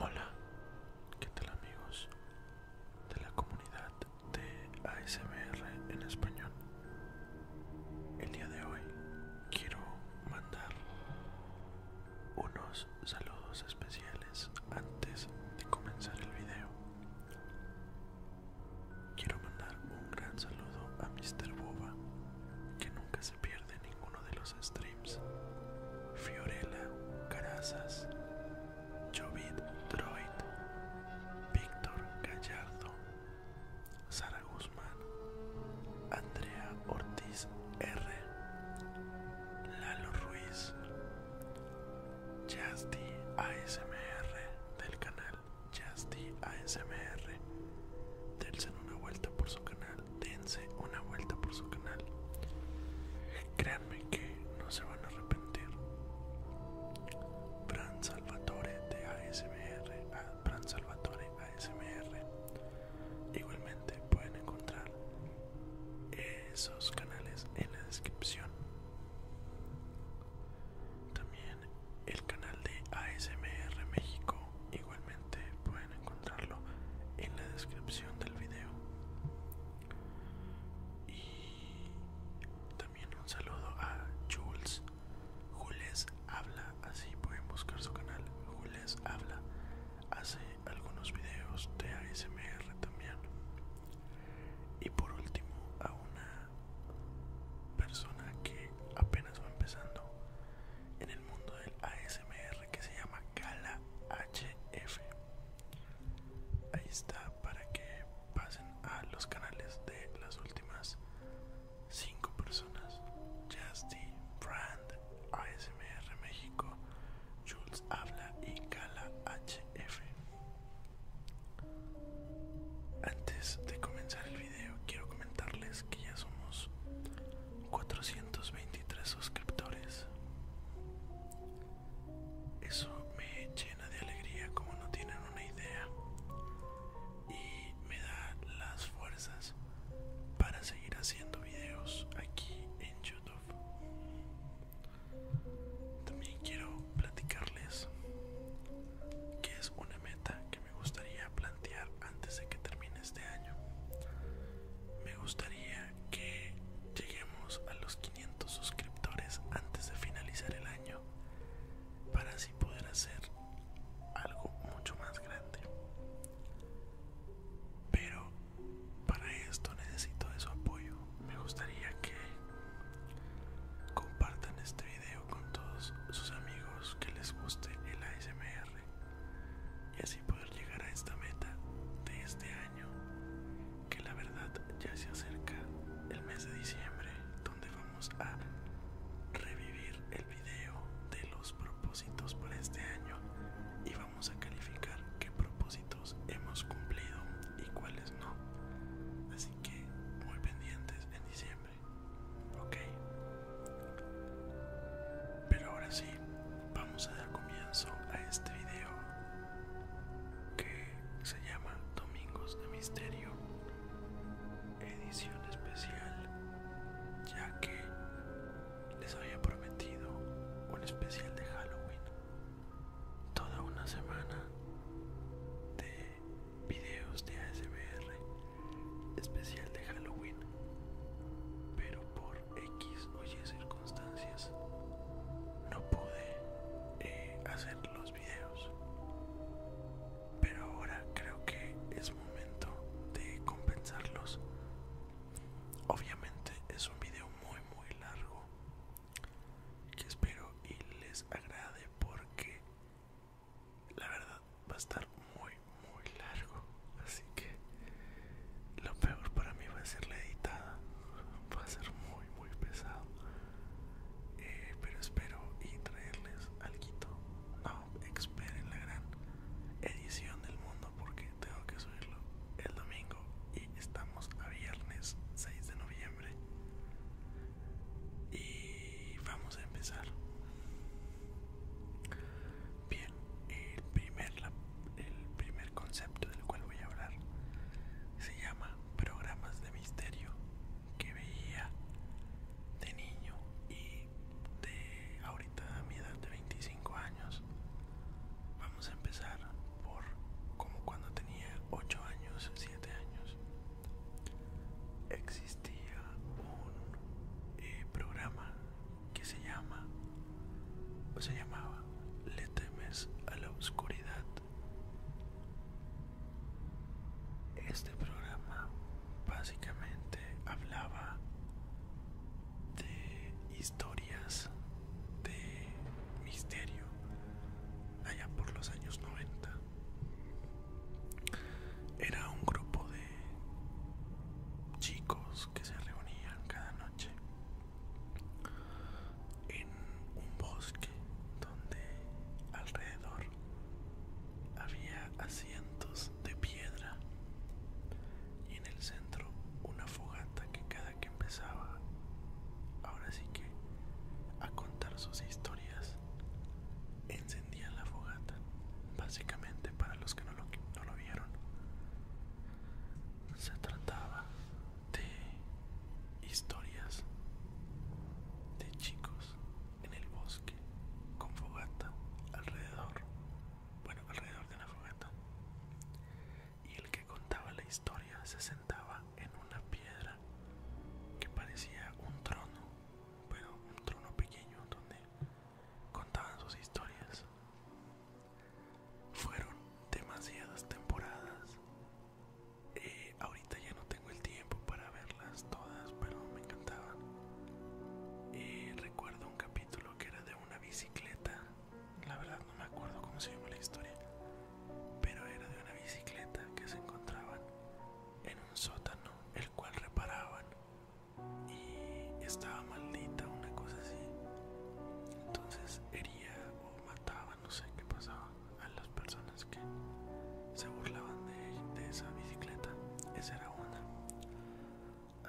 Hola, ¿qué tal amigos de la comunidad de ASBR en español? El día de hoy quiero mandar unos saludos especiales antes de comenzar el video. Quiero mandar un gran saludo a Mr. Boba, que nunca se pierde ninguno de los streams. Fiorella, Carazas, Jovid Droid, Víctor Gallardo, Sara Guzmán, Andrea Ortiz R, Lalo Ruiz, Justi ASMR del canal. Justy ASMR. Dense una vuelta por su canal. Dense una vuelta por su canal. Créanme que no se van a arrepentir. Fran Salvatore de ASMR. Fran Salvatore ASMR. Igualmente pueden encontrar esos canales en la descripción. También el canal de ASMR México igualmente pueden encontrarlo en la descripción del video y también un saludo a Jules Jules habla así pueden buscar su canal Jules habla hace algunos videos de ASMR también y por último a una persona que apenas va empezando en el mundo del ASMR que se llama Kala HF. Ahí está para que pasen a los canales de las últimas 5 personas. Justy, Brand, ASMR México, Jules Habla y Cala HF. Antes de comenzar el video quiero comentarles que ya somos 423 suscriptores. Eso me llena de alegría como no tienen una idea y me da las fuerzas para seguir haciendo videos aquí en YouTube. También quiero platicarles que es una meta que me gustaría plantear antes de que termine este año. Me gustaría que lleguemos a los 500 suscriptores antes de finalizar el año para así poder hacer algo mucho más grande. Pero para esto necesito de su apoyo. Me gustaría que compartan este con todos sus amigos que les guste el ASMR y así poder llegar a esta meta de este año que la verdad ya se acerca el mes de diciembre donde vamos a revivir el video de los propósitos para este año y vamos a calificar qué propósitos hemos cumplido y cuáles no así que muy pendientes en diciembre Ok. Pero ahora sí, vamos a dar comienzo a este video que se llama Domingos de Misterio, edición especial, ya que les había prometido un especial de Halloween. Toda una semana de videos de ASMR especial de Halloween pero por X o Y circunstancias no pude eh, hacer los videos pero ahora creo que es momento de compensarlos obviamente es un video muy muy largo que espero y les agrade porque la verdad va a estar muy muy largo así que lo peor para mí va a ser la editada va a ser muy muy pesado eh, pero espero y traerles algo no esperen la gran edición del mundo porque tengo que subirlo el domingo y estamos a viernes 6 de noviembre y vamos a empezar bien el primer concepto del cual voy a hablar se llama programas de misterio que veía de niño y de ahorita a mi edad de 25 años vamos a empezar por como cuando tenía 8 años 7 años existía un eh, programa que se llama o se llamaba Le temes a la oscuridad. Este programa básicamente hablaba de historias de misterio allá por los años 90. Era un grupo de chicos que se reunían cada noche en un bosque donde alrededor había asientos de piedra y en el centro una fogata que cada que empezaba ahora sí que a contar sus historias encendían la fogata, básicamente para los que no lo, no lo vieron. Se trataba de historias de chicos en el bosque con fogata alrededor, bueno, alrededor de la fogata. Y el que contaba la historia se sentaba en una piedra que parecía un trono bueno, un trono pequeño donde contaban sus historias. Fueron demasiadas temporadas. Eh, ahorita ya no tengo el tiempo para verlas todas, pero me encantaban. Eh, recuerdo un capítulo que era de una bicicleta. La verdad no me acuerdo cómo se llama la historia. Pero era de una bicicleta que se encontraban en un sótano, el cual reparaban y estaba maldita, una cosa así. Entonces hería o mataba, no sé qué pasaba, a las personas que se burlaban de, esa bicicleta. Esa era una.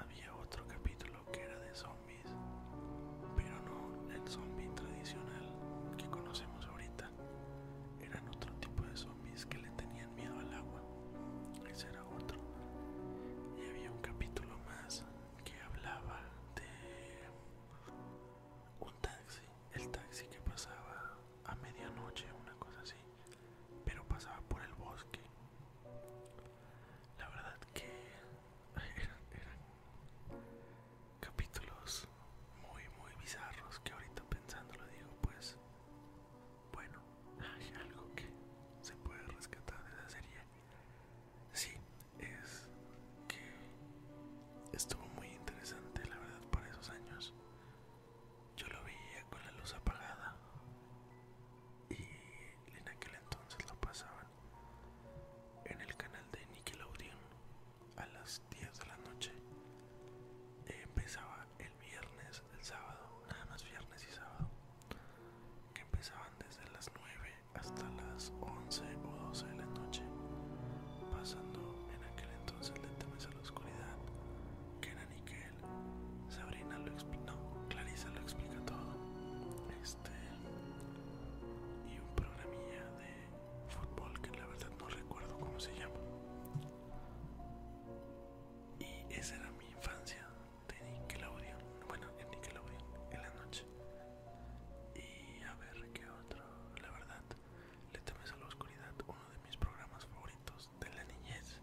Había otro capítulo que era de zombies, pero no el zombie tradicional que conocemos ahorita eran otro tipo de zombies que le tenían miedo al agua. Ese era otro. Y había un capítulo más que hablaba de un taxi. El taxi que pasaba a medianoche, una cosa así. Pero pasaba por el bosque. La verdad que eran capítulos muy, muy bizarros que ahorita pensando lo digo, pues, bueno, hay algo que se puede rescatar de esa serie. Sí, es que estuvo muy interesante, la verdad, para esos años. Yo lo veía con la luz apagada y en aquel entonces lo pasaban en el canal de Nickelodeon a las 10 de la noche. empezaba el viernes, el sábado, nada más viernes y sábado, que empezaban desde las 9 hasta las 11 o 12 de la noche, pasando en aquel entonces de Temes a la Oscuridad, que era Nickel, Sabrina lo explica, no, Clarisa lo explica todo, este, y un programilla de fútbol que la verdad no recuerdo cómo se llama. Y esa era mi infancia de Nickelodeon. Bueno, en Nickelodeon, en la noche. Y a ver qué otro. La verdad, Le temes a la oscuridad, uno de mis programas favoritos de la niñez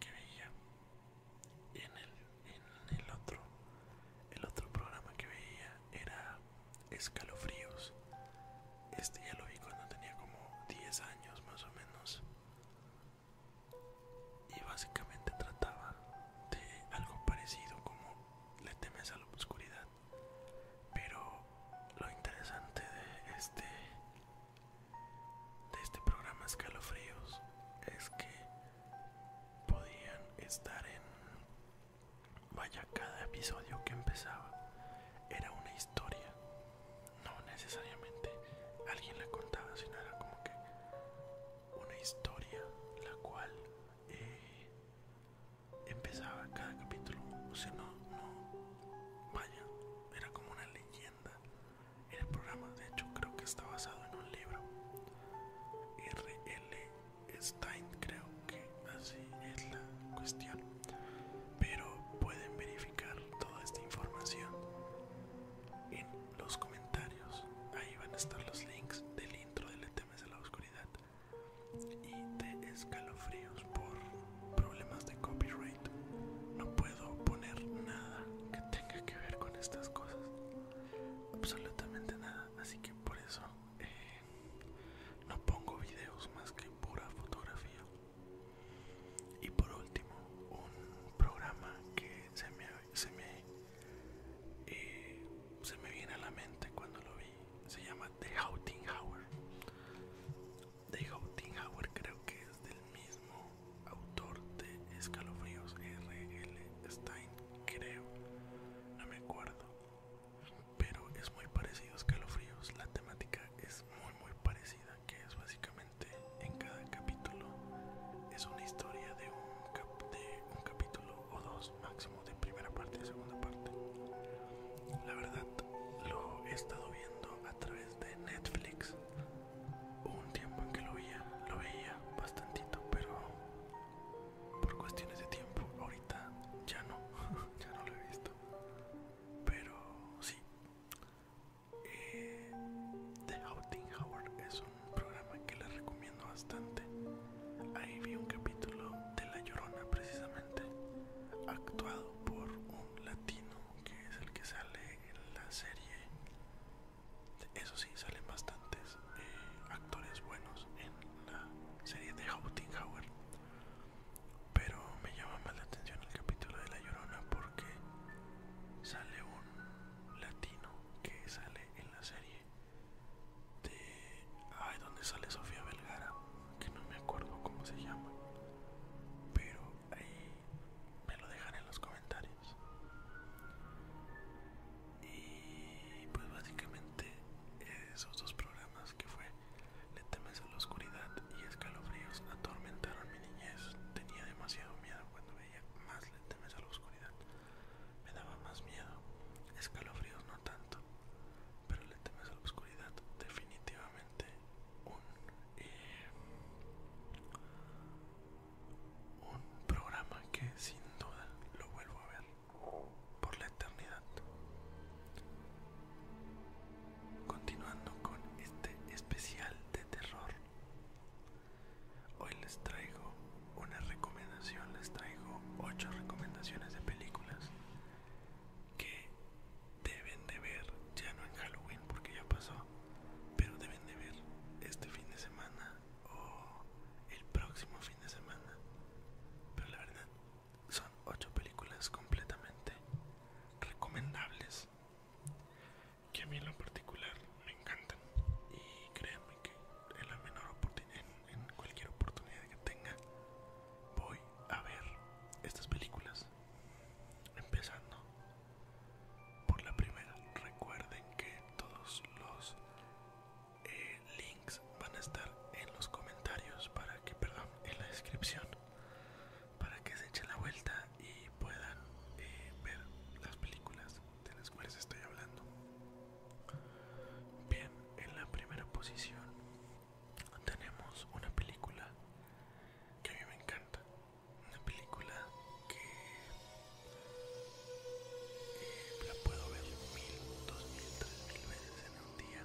que veía. Y en el, en el otro, el otro programa que veía era escalofríos. Este ya lo vi cuando tenía como 10 años más o menos. Y básicamente trataba de algo parecido como le temes a la oscuridad. Pero lo interesante de este de este programa escalofríos es que podían estar en Vaya, cada episodio que empezaba era una historia. No necesariamente alguien la contaba, sino era como que una historia la cual eh, empezaba cada capítulo. O sea, no, no, vaya, era como una leyenda. El programa, de hecho, creo que está basado en un libro. R.L. Stein, creo así es la cuestión. Pero pueden verificar toda esta información en los comentarios. Ahí van a estar los links del intro del E.T.M.S. a la oscuridad y de escalofríos por problemas de copyright. No puedo poner nada que tenga que ver con estas cosas. Absolutamente nada. Así que por eso eh, no pongo videos más que pura fotografía. Y por último, un programa que se me, se me, eh, se me viene a la mente cuando lo vi, se llama The Houting Hour. The Houting Hour creo que es del mismo autor de Escalofríos RL Stein, creo, no me acuerdo pero es muy parecido a escalofríos la temática es muy muy parecida que es básicamente en cada capítulo es una historia de un, de un capítulo o dos máximo de primera parte y segunda parte la verdad lo he estado viendo a través de Netflix Hubo un tiempo en que lo veía lo veía bastantito pero por cuestiones de tiempo ahorita ya no, ya no lo he visto. Pero sí. Eh, The Outing Howard es un programa que les recomiendo bastante. Ahí vi un capítulo de La Llorona precisamente, actuado por un latino que es el que sale en la serie. Eso sí, salen bastantes eh, actores buenos en la serie The Outing Howard. Pero me llama más la atención el capítulo de La Llorona porque sale un latino que sale en la serie de... Ay, donde sale Sofía Velgara, Que no me acuerdo cómo se llama. Pero ahí me lo dejan en los comentarios. Y pues básicamente esos dos programas que fue le temes a la oscuridad y escalofríos atormentaron mi niñez. Tenía demasiado miedo cuando veía más le temes a la oscuridad. Me daba más miedo. Escalofríos no tanto. Pero le temes a la oscuridad definitivamente un... Eh, programa que sin duda lo vuelvo a ver por la eternidad. Continuando con este especial de terror, hoy les traigo una recomendación, les traigo 8 recomendaciones de películas que deben de ver, ya no en Halloween porque ya pasó, pero deben de ver este fin de semana o el próximo fin de semana. Pero la verdad son ocho películas completamente recomendables que a mí en lo particular me encantan y créanme que en la menor oportunidad, en, cualquier oportunidad que tenga, voy a ver estas películas. Empezando por la primera, recuerden que todos los eh, links van a estar en los comentarios para que, perdón, en la descripción para que se echen la vuelta y puedan eh, ver las películas de las cuales estoy hablando. Bien, en la primera posición tenemos una película que a mí me encanta, una película que eh, la puedo ver mil, dos mil, tres mil veces en un día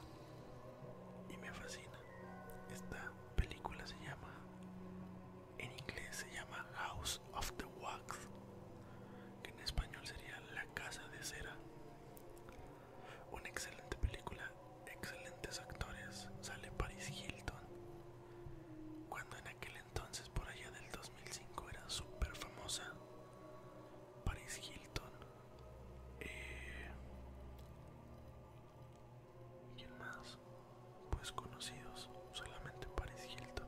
y me fascina. Esta película se llama, en inglés se llama House of the Wax, que en español sería La Casa de Cera. Una excelente película, excelentes actores, sale Paris Hilton, cuando en aquel entonces por allá del 2005 era súper famosa. Paris Hilton, eh, ¿Quién más? Pues conocidos, solamente Paris Hilton.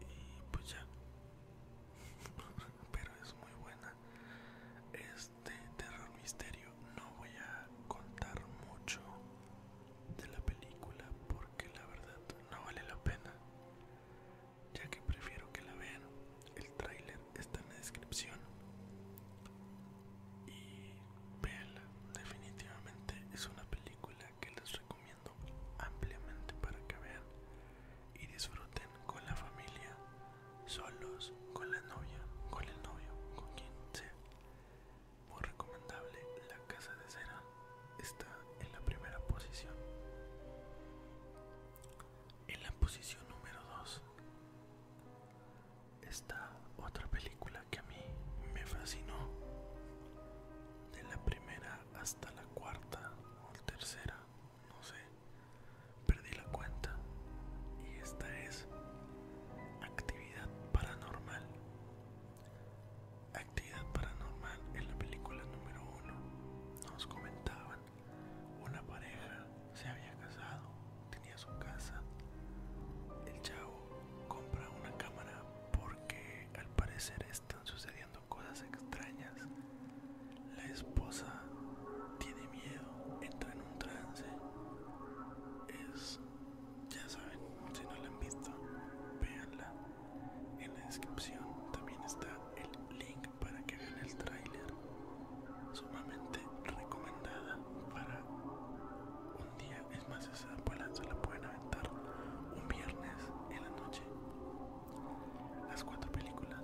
Y pues ya. Pero es muy buena. Este terror misterio no voy a contar mucho de la película porque la verdad no vale la pena ya que prefiero que la vean. El tráiler está en la descripción. Y véanla, definitivamente es una película que les recomiendo ampliamente para que vean y disfruten con la familia, solos, con la novia, con el novio, con quien sea. Muy recomendable, La Casa de Cera está en la primera posición. En la posición número 2 está otra película que a mí me fascinó. De la primera hasta la cuarta o tercera, no sé, perdí la cuenta. Y esta es Actividad Paranormal. Actividad Paranormal en la película número 1 nos comentaban una pareja se había casado, tenía su casa. El chavo compra una cámara porque al parecer están sucediendo cosas extrañas. La esposa tiene miedo, entra en un trance. Es, ya saben, si no la han visto, véanla. En la descripción también está el link para que vean el tráiler sumamente recomendada para un día es más esa abuela se la pueden aventar un viernes en la noche las cuatro películas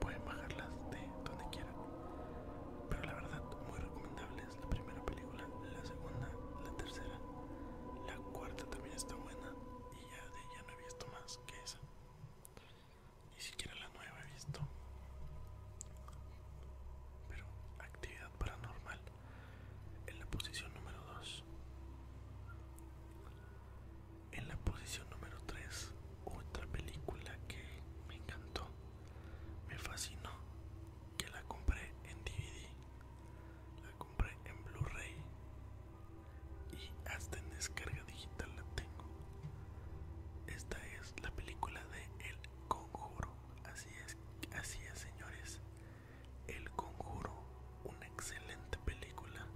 pueden bajarlas de donde quieran pero la verdad muy recomendable es la primera película la segunda la tercera la cuarta también está buena y ya de ella no he visto más que esa ni siquiera la nueva he visto. Pero actividad paranormal en la posición número 2. En la posición número 3, otra película que me encantó, me fascinó, que la compré en DVD, la compré en Blu-ray y hasta en descarga digital la tengo. Esta es la película de El Conjuro. Así es, así es, señores. El Conjuro, una excelente película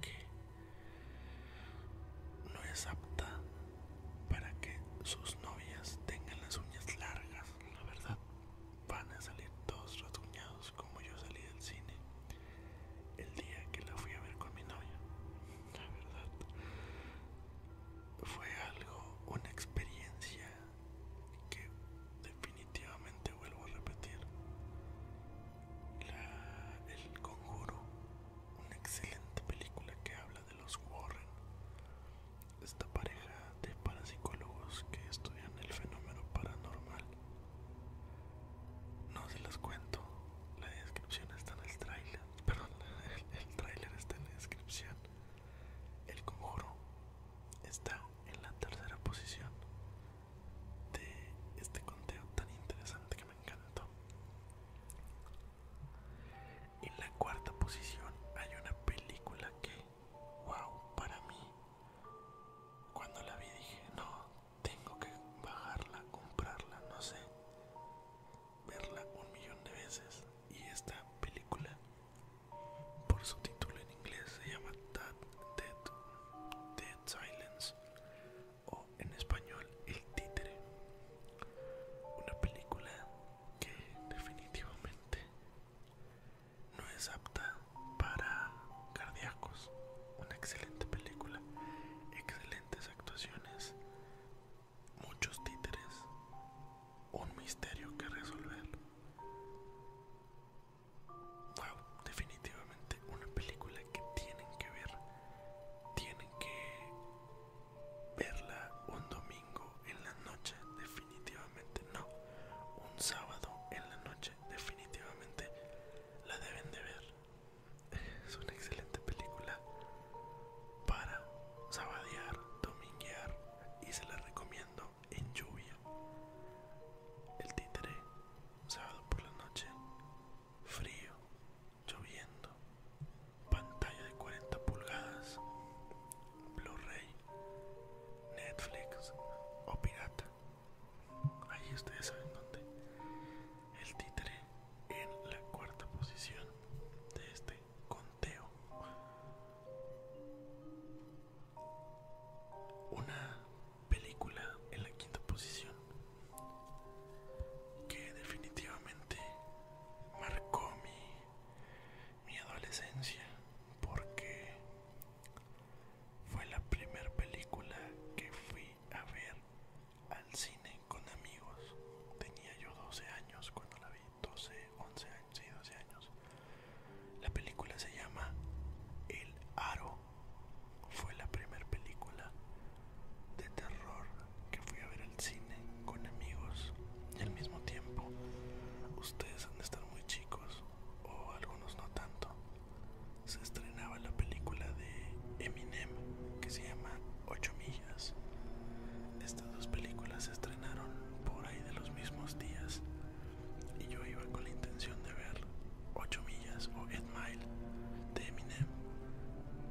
que no es apta para que sus novias tengan las uñas largas, la verdad. Van a salir todos rasguñados como yo salí del cine el día que la fui a ver con mi novia. La verdad, fue algo, una experiencia que definitivamente vuelvo a repetir. el Conjuro, una excelente película que habla de los Warren, esta pareja de parapsicólogos que estudian el fenómeno paranormal no se los cuento. La descripción está en el trailer Perdón, el, trailer está en la descripción. El conjuro está en la tercera posición de este conteo tan interesante que me encantó. En la cuarta posición hay una película que, wow, para mí, cuando la vi dije, no, tengo que bajarla, comprarla, no sé, verla un millón de veces. Y esta película, por su título en inglés, se llama Dead, Dead, Silence o en español El Títere. Una película que definitivamente no es apta para una excelente película, excelentes actuaciones, muchos títeres, un misterio que resolver. Wow, definitivamente una película que tienen que ver. Tienen que verla un domingo en la noche, definitivamente no. Un sábado en la noche, definitivamente la deben de ver. Es una excelente película para sabadear, dominguear y se la recomiendo en lluvia. El títere, sábado por la noche, frío, lloviendo, pantalla de 40 pulgadas, Blu-ray, Netflix o pirata. Ahí ustedes saben dónde. El títere en la cuarta posición de este conteo. Una película en la quinta posición que definitivamente marcó mi, mi adolescencia porque fue la primera película que fui a ver al cine con amigos. Tenía yo 12 años cuando la vi, 12, 11 años, sí, 12 años. La película se llama El Aro. Fue la primera película de terror que fui a ver al cine con amigos y al mismo tiempo ustedes han de estar muy chicos o algunos no tanto se estrenaba la película de Eminem que se llama 8 millas. Estas dos películas se estrenaron por ahí de los mismos días y yo iba con la intención de ver 8 millas o 8 Mile de Eminem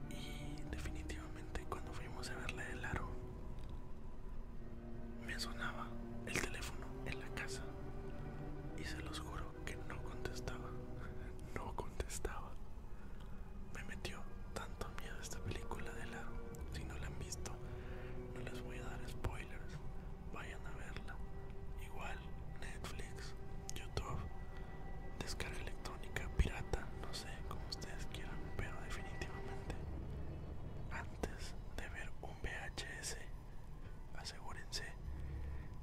y definitivamente cuando fuimos a verla de Laro me sonaba el teléfono en la casa y se los juro que no contestaba, no contestaba. Me metió tanto miedo esta película de lado. Si no la han visto, no les voy a dar spoilers. Vayan a verla. Igual, Netflix, YouTube, descarga electrónica, pirata, no sé, como ustedes quieran, pero definitivamente antes de ver un VHS, asegúrense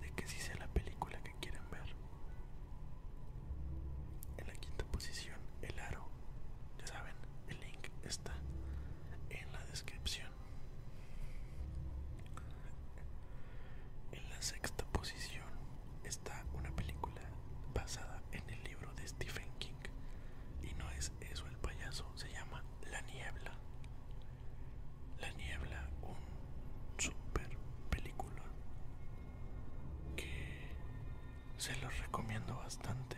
de que si sea la película que quieran ver. En la quinta posición, el aro. Ya saben, el link está en la descripción. En la sexta posición está una película basada en el libro de Stephen King. Y no es eso el payaso, se llama La Niebla. La niebla, un super película que se los recomiendo bastante.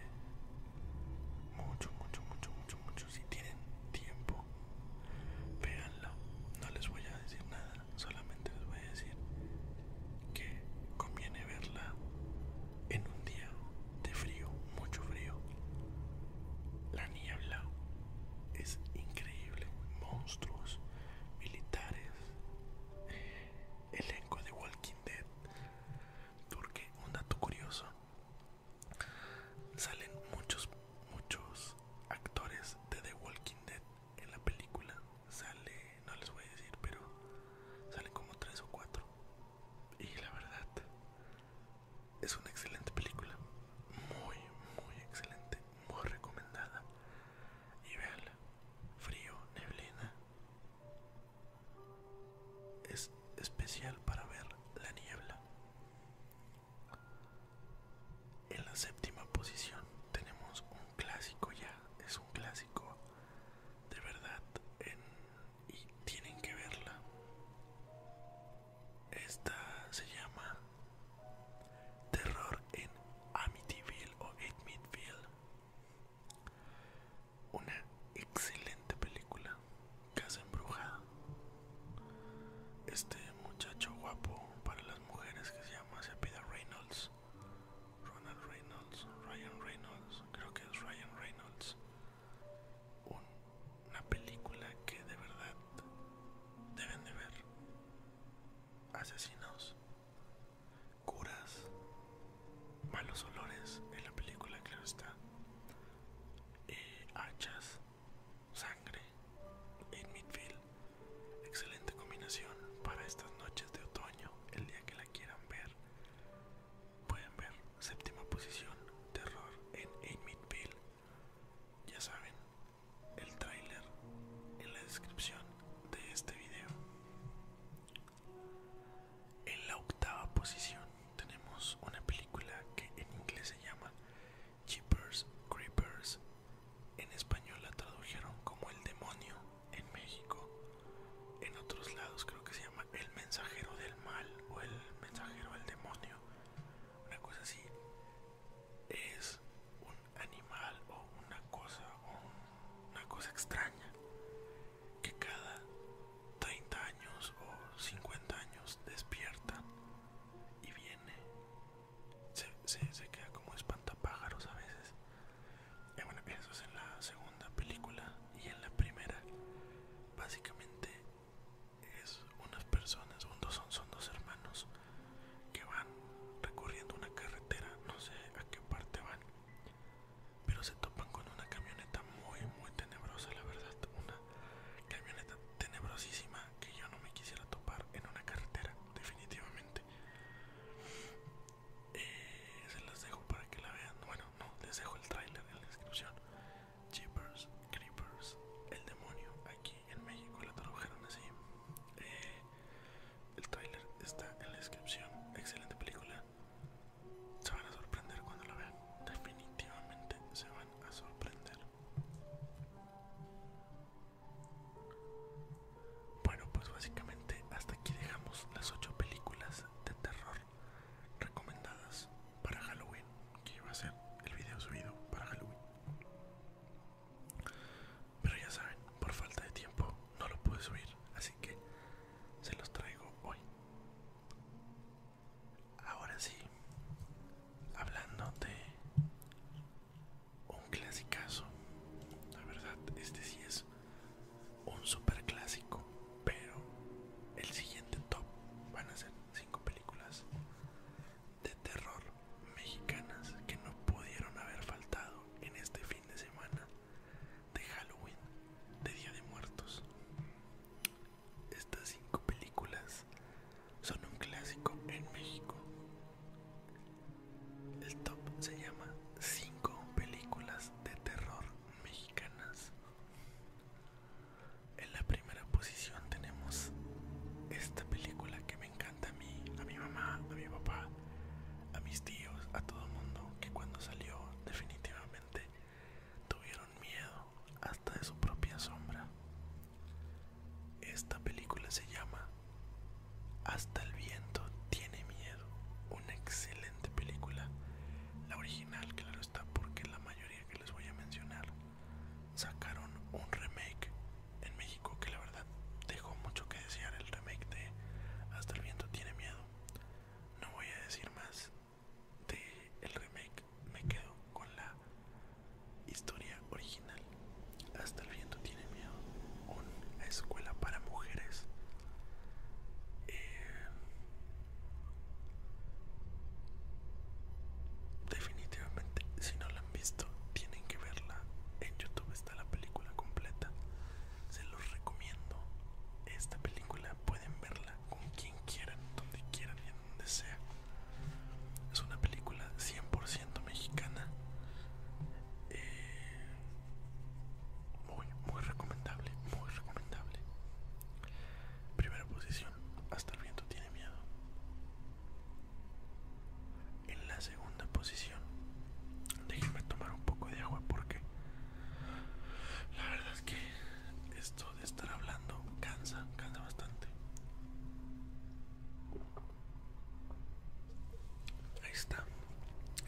Mucho, mucho, mucho, mucho, mucho. Si tienen tiempo, Veanla No les voy a decir nada, solamente les voy a decir que conviene verla en un día de frío, mucho frío. La niebla, es increíble. Monstruos, militares, elenco de Walking Dead. Porque un dato curioso, salen muchos, muchos actores de The Walking Dead en la película. Sale, no les voy a decir, pero salen como tres o cuatro. Y la verdad, es una excelente película. Muy, muy excelente muy recomendada. Y vean frío, neblina. Es especial para ver la niebla. En la séptima posición tenemos un clásico ya, es un clásico de verdad y tienen que verla. Esta se llama Terror en Amityville o Amityville, Una excelente película, Casa Embrujada. Este muchacho guapo para las mujeres que se llama Sepida Reynolds, Ronald Reynolds, Ryan Reynolds, creo que es Ryan Reynolds. una película que de verdad deben de ver asesinos, curas, malos olores en la película, claro está, hachas, sangre en Midfield. Excelente combinación para estas noches de otoño, el día que la quieran ver. Pueden ver séptima posición, terror en Midfield. Ya saben, el trailer en la descripción de este video. En la octava posición tenemos una película que en inglés se llama Jeepers Creepers. En español la tradujeron como El demonio en México. En otros lados creo que se llama El mensajero del mal o El mensajero del demonio. Una cosa así es un animal o una cosa, o una cosa extraña que cada 30 años o 50 años despierta y viene, se, queda como espantapájaros a veces. eso en la segunda película y en la primera básicamente es unas personas, son dos, son dos hermanos que van recorriendo una carretera, no sé a qué parte van, pero se topan con una camioneta muy, muy tenebrosa, la verdad, una camioneta tenebrosísima que yo no me quisiera topar en una carretera, definitivamente. Eh, se las dejo para que la vean, bueno, no, les dejo el trailer en la descripción. Jeepers, Creepers, el demonio aquí en México la tradujeron así. Eh, el trailer está en la descripción. Excelente película. Se van a sorprender cuando la vean. Definitivamente se van a sorprender. Bueno, pues básicamente hasta aquí dejamos las 8 películas de terror recomendadas para Halloween, que iba a ser el video subido para Halloween. Pero ya saben, por falta de tiempo no lo pude subir, así que se los traigo hoy. Ahora sí, hablando de un clasicazo, la verdad, este sí es un super clásico, pero el siguiente top van a ser 5 películas de terror mexicanas que no pudieron haber faltado en este fin de semana de Halloween, de Día de Muertos. Estas cinco películas son un clásico en México. El top se llama cinco películas de terror mexicanas. En la primera en primera posición tenemos esta película que me encanta a mí, a mi mamá, a mi papá, a mis tíos, a todo el mundo, que cuando salió definitivamente tuvieron miedo hasta de su propia sombra. Esta película se llama Hasta el viento tiene miedo, una excelente película, la original claro está porque la mayoría que les voy a mencionar sacaron un remake en México que la verdad dejó mucho que desear el remake de Hasta el viento tiene miedo. No voy a decir más de el remake, me quedo con la historia original. Hasta el viento tiene miedo. Una escuela para mujeres. Eh, definitivamente, si no la visto, tienen que verla. En YouTube está la película completa. Se los recomiendo. Esta película pueden verla con quien quieran, donde quieran y donde sea. Es una película 100% mexicana. Eh, muy, muy recomendable, muy recomendable. Primera posición, hasta el viento tiene miedo en la segunda posición déjenme tomar un poco de agua porque la verdad es que esto de estar hablando cansa cansa bastante ahí está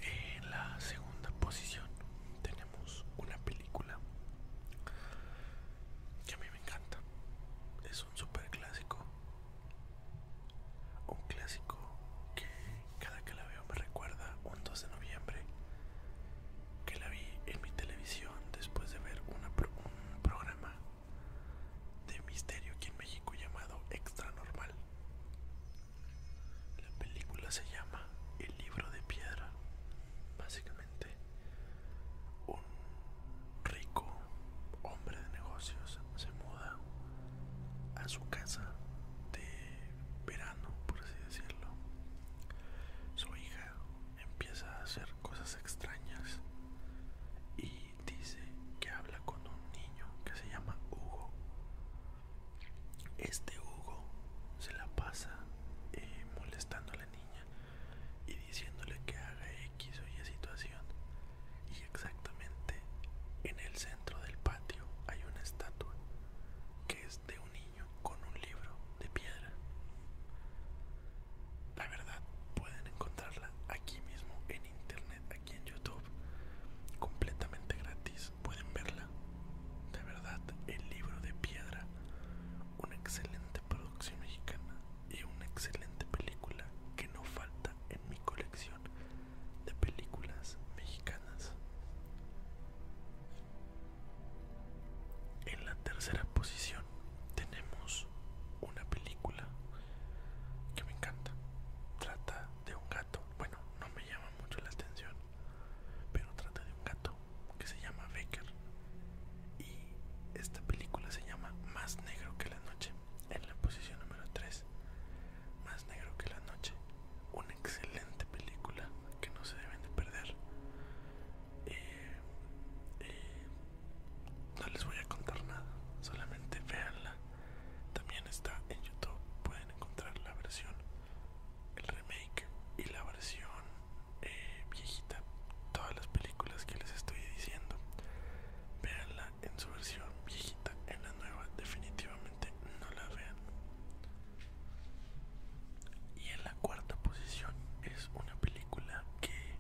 en la segunda posición tenemos una película que a mí me encanta. Es un super clásico. Un clásico que cada que la veo me recuerda un 2 de noviembre que la vi en mi televisión después de ver un programa de misterio aquí en México llamado Extra Normal. La película se llama El libro de piedra. Básicamente un rico hombre de negocios se muda a su casa de verano, por así decirlo. Su hija empieza a hacer cosas extrañas y dice que habla con un niño que se llama Hugo. Este Hugo se la pasa eh, molestando a la niña y diciéndole que haga X o Y situación. Y exactamente en el centro del patio hay una estatua que es de un niño con un libro de piedra. La verdad, pueden encontrarla aquí mismo en internet, aquí en YouTube, completamente gratis. Pueden verla. De verdad, el libro de piedra, una excelente producción mexicana y una excelente película que no falta en mi colección de películas mexicanas. En la tercera posición tenemos una película que me encanta. Trata de un gato. Bueno, no me llama mucho la atención, pero trata de un gato que se llama Becker y esta película se llama Más negro que la noche. En la posición número 3. Más negro que la noche. Una excelente película que no se deben de perder. Eh, eh, no les voy a contar nada. Solamente véanla. También está en YouTube. Pueden encontrar la versión, el remake y la versión eh, viejita. Todas las películas que les estoy diciendo. véanla en su versión viejita, en la nueva definitivamente no la vean. Y en la cuarta posición es una película que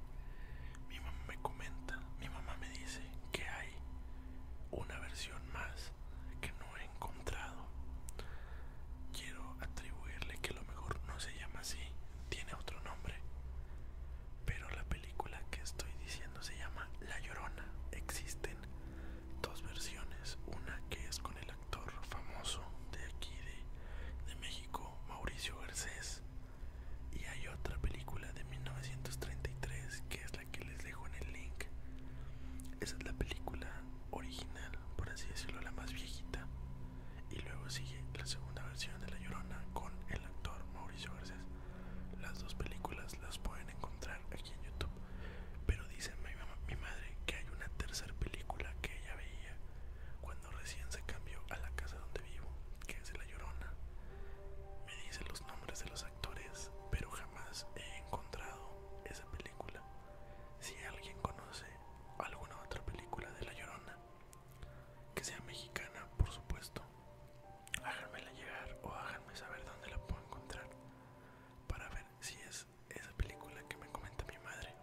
mi mamá me comenta, mi mamá me dice que hay una versión más que no he encontrado. Quiero atribuirle que a lo mejor no se llama así, tiene otro nombre. Pero la película que estoy diciendo se llama La Llorona. Existen dos versiones. Una que es con el actor famoso de aquí de, México, Mauricio Garcés. Y hay otra película de 1933 que es la que les dejo en el link. Esa es la película original, por así decirlo, la más viejita. Y luego sigue la segunda versión de La Llorona con el actor Mauricio Garcés. Las dos películas las pueden encontrar aquí en YouTube. Pero dice mi, mamá, mi madre que hay una tercera película que ella veía cuando recién se cambió a la casa donde vivo, que es La Llorona. Me dice los nombres de los actores, pero jamás he encontrado esa película. Si alguien conoce alguna otra película de La Llorona, que sea mexicana, por supuesto. Háganmela llegar o háganme saber dónde la puedo encontrar para ver si es esa película que me comenta mi madre.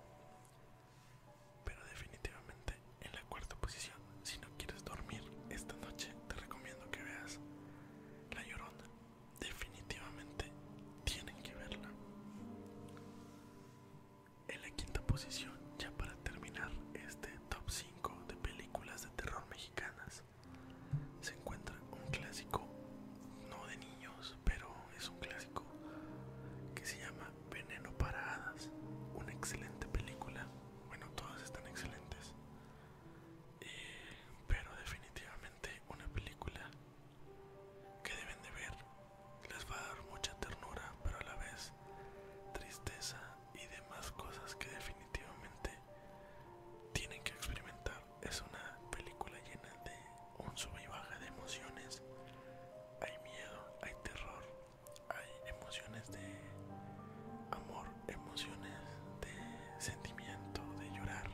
Pero definitivamente en la cuarta posición, si no quieres dormir esta noche, te recomiendo que veas La Llorona. Definitivamente tienen que verla. En la quinta posición, ya para terminar este top 5 de películas de terror mexicanas, se encuentra un clásico, no de niños, pero es un clásico que se llama Veneno para Hadas. Una excelente película, bueno, todas están excelentes, eh, pero definitivamente una película que deben de ver les va a dar mucha ternura pero a la vez tristeza y demás cosas que definitivamente tienen que experimentar. Es una película llena de un sub y baja de emociones. Hay miedo, hay terror, hay emociones de amor, emociones de sentimiento, de llorar.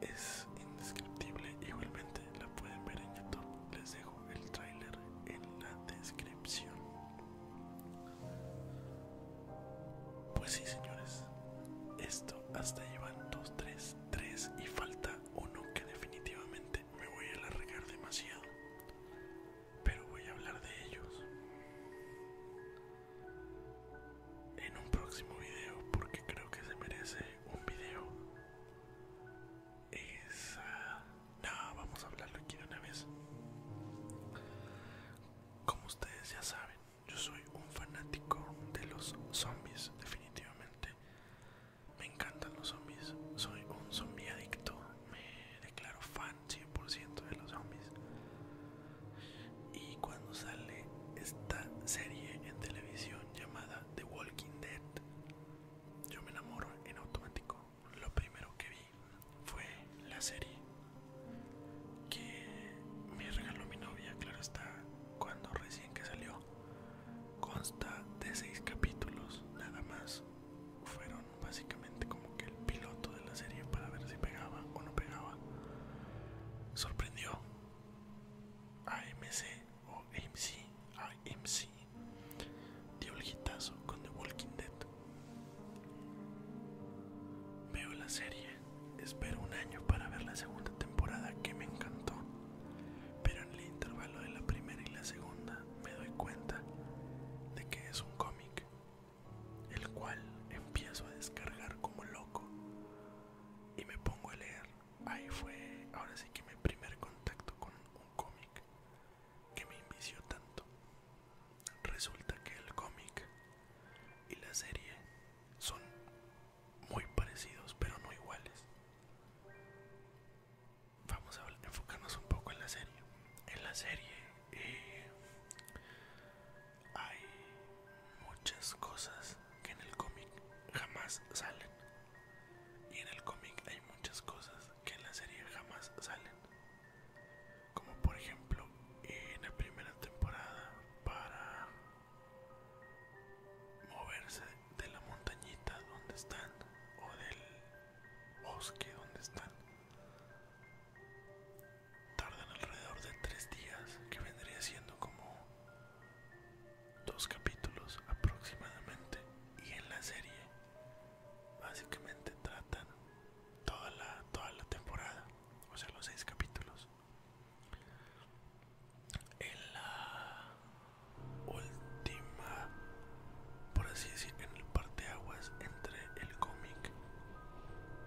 Es indescriptible. Igualmente la pueden ver en YouTube. Les dejo el tráiler en la descripción. Pues sí, señores, esto hasta llevan 2, 3, 3 y falta uno que definitivamente me voy a alargar demasiado. Pero voy a hablar de ellos en un próximo video porque creo que se merece un video. Esa no, vamos a hablarlo aquí de una vez. Como ustedes ya saben, yo soy un fanático de los zombies, definitivamente. Me encantan los zombies. Soy un zombie adicto. Me declaro fan 100% de los zombies. Y cuando sale esta serie en televisión llamada The Walking Dead, yo me enamoro en automático lo primero que vi fue la serie que me regaló mi novia, claro está, cuando recién que salió. Consta de seis capítulos, nada más. Fueron básicamente como que el piloto de la serie para ver si pegaba o no pegaba. Sorprendió a AMC o AMC, AMC dio el hitazo con The Walking Dead. Veo la serie, espero un año para ver la segunda temporada que me encantó, pero en el intervalo de la primera y la segunda me doy cuenta de que es un cómic, el cual empiezo a descargar como loco y me pongo a leer. Ahí fue, ahora sí que mi primer contacto con un cómic que me invició tanto. Resulta que el cómic y la serie son muy parecidos, pero no iguales. Vamos a enfocarnos un poco en la serie. En la serie eh, hay muchas cosas que en el cómic jamás salen. Y en el cómic hay muchas cosas que en la serie jamás salen. Como por ejemplo en la primera temporada para moverse de la montañita donde están o del bosque donde están. Tardan alrededor de tres días, que vendría siendo como dos capítulos aproximadamente. Y en la serie básicamente tratan toda la, toda la temporada, o sea, los seis capítulos. En la última, por así decir, en el parteaguas entre el cómic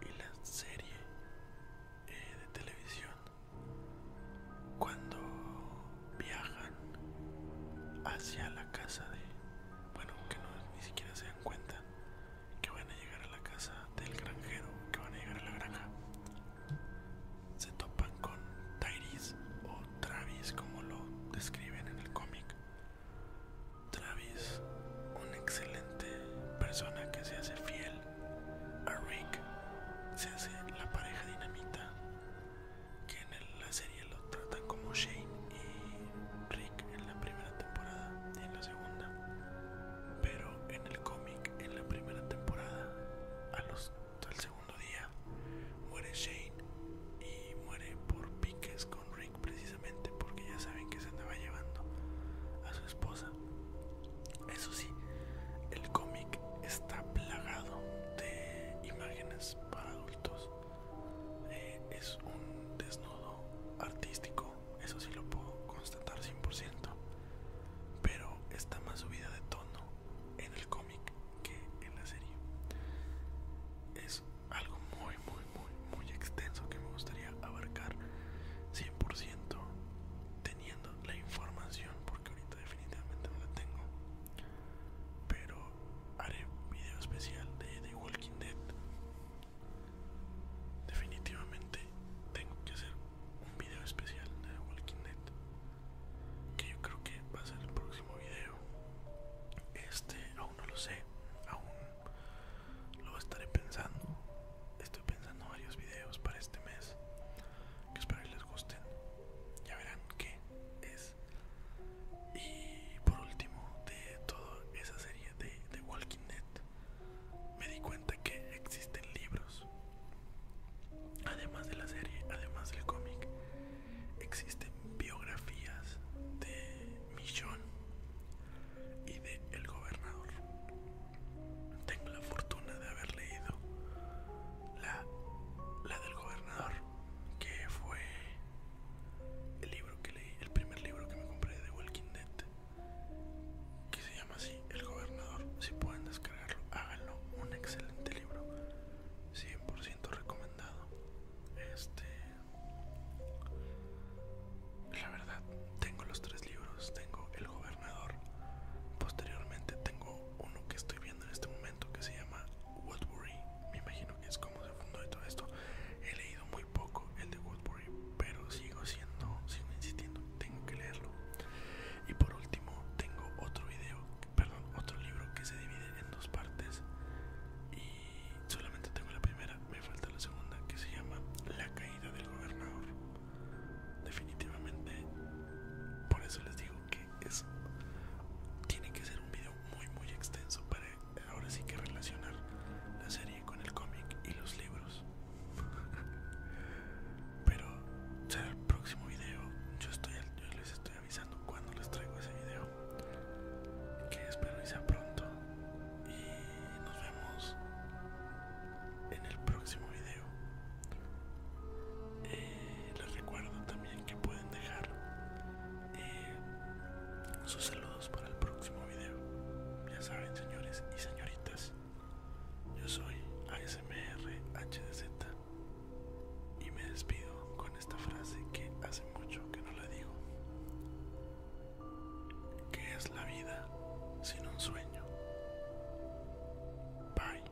y la serie eh, de televisión, cuando viajan hacia la casa de bueno que no ni siquiera se dan cuenta que van a llegar a la casa del granjero que van a llegar a la granja se topan con Tyris o Travis como lo describen en el cómic Travis una excelente persona que se hace fiel a Rick se hace la pareja dinamita que en la serie lo tratan como Shane y Rick en la primera temporada y en la segunda. Pero en el cómic, en la primera temporada, al segundo día, muere Shane y muere por piques con Rick precisamente porque ya saben que se andaba llevando a su esposa. Eso sí, el cómic está plagado de imágenes para adultos eh, es un desnudo artístico, eso sí lo puedo constatar 100%, pero está más subida de tono en el cómic que en la serie. Es algo muy, muy, muy, muy extenso que me gustaría abarcar 100% teniendo la información, porque ahorita definitivamente no la tengo. Pero haré un video especial de The Walking Dead. Definitivamente tengo que hacer un video especial de The Walking Dead. Que yo creo que va a ser el próximo video. Este aún no lo sé. Aún lo estaré pensando. Estoy pensando varios videos para este mes. Que espero que les gusten. Ya verán que es y por último, de toda esa serie de, Walking Dead, me di cuenta que existen libros. Además de la serie, además del cómic, existen biografías de Michonne y de El Gobernador. Tengo la fortuna de haber leído la del Gobernador que fue el libro que leí, el primer libro que me compré de Walking Dead, que se llama así, El Gobernador. Si pueden descargarlo, háganlo. Un excelente libro, 100% recomendado. Este, la verdad, tengo los tres libros, tengo El Gobernador. Posteriormente tengo uno que estoy viendo en este momento que se llama Woodbury. Me imagino que es como se fundó todo esto. He leído muy poco el de Woodbury, pero sigo siendo, sigo insistiendo, tengo que leerlo. Y por último, tengo otro video, perdón, otro libro que se divide en dos partes. Y solamente tengo la primera, me falta la segunda que se llama La caída del gobernador. Definitivamente, por eso les digo que eso tiene que ser un video muy muy extenso para eh, ahora sí que relacionar la serie con el cómic y los libros pero será el próximo video yo les estoy avisando cuando les traigo ese video que espero que sea pronto y nos vemos en el próximo video eh, les recuerdo también que pueden dejar y eh, sus saludos para el próximo video. Ya saben, señores y señoritas, yo soy ASMRHDZ y me despido con esta frase que hace mucho que no la digo. ¿Qué es la vida sin un sueño? Bye.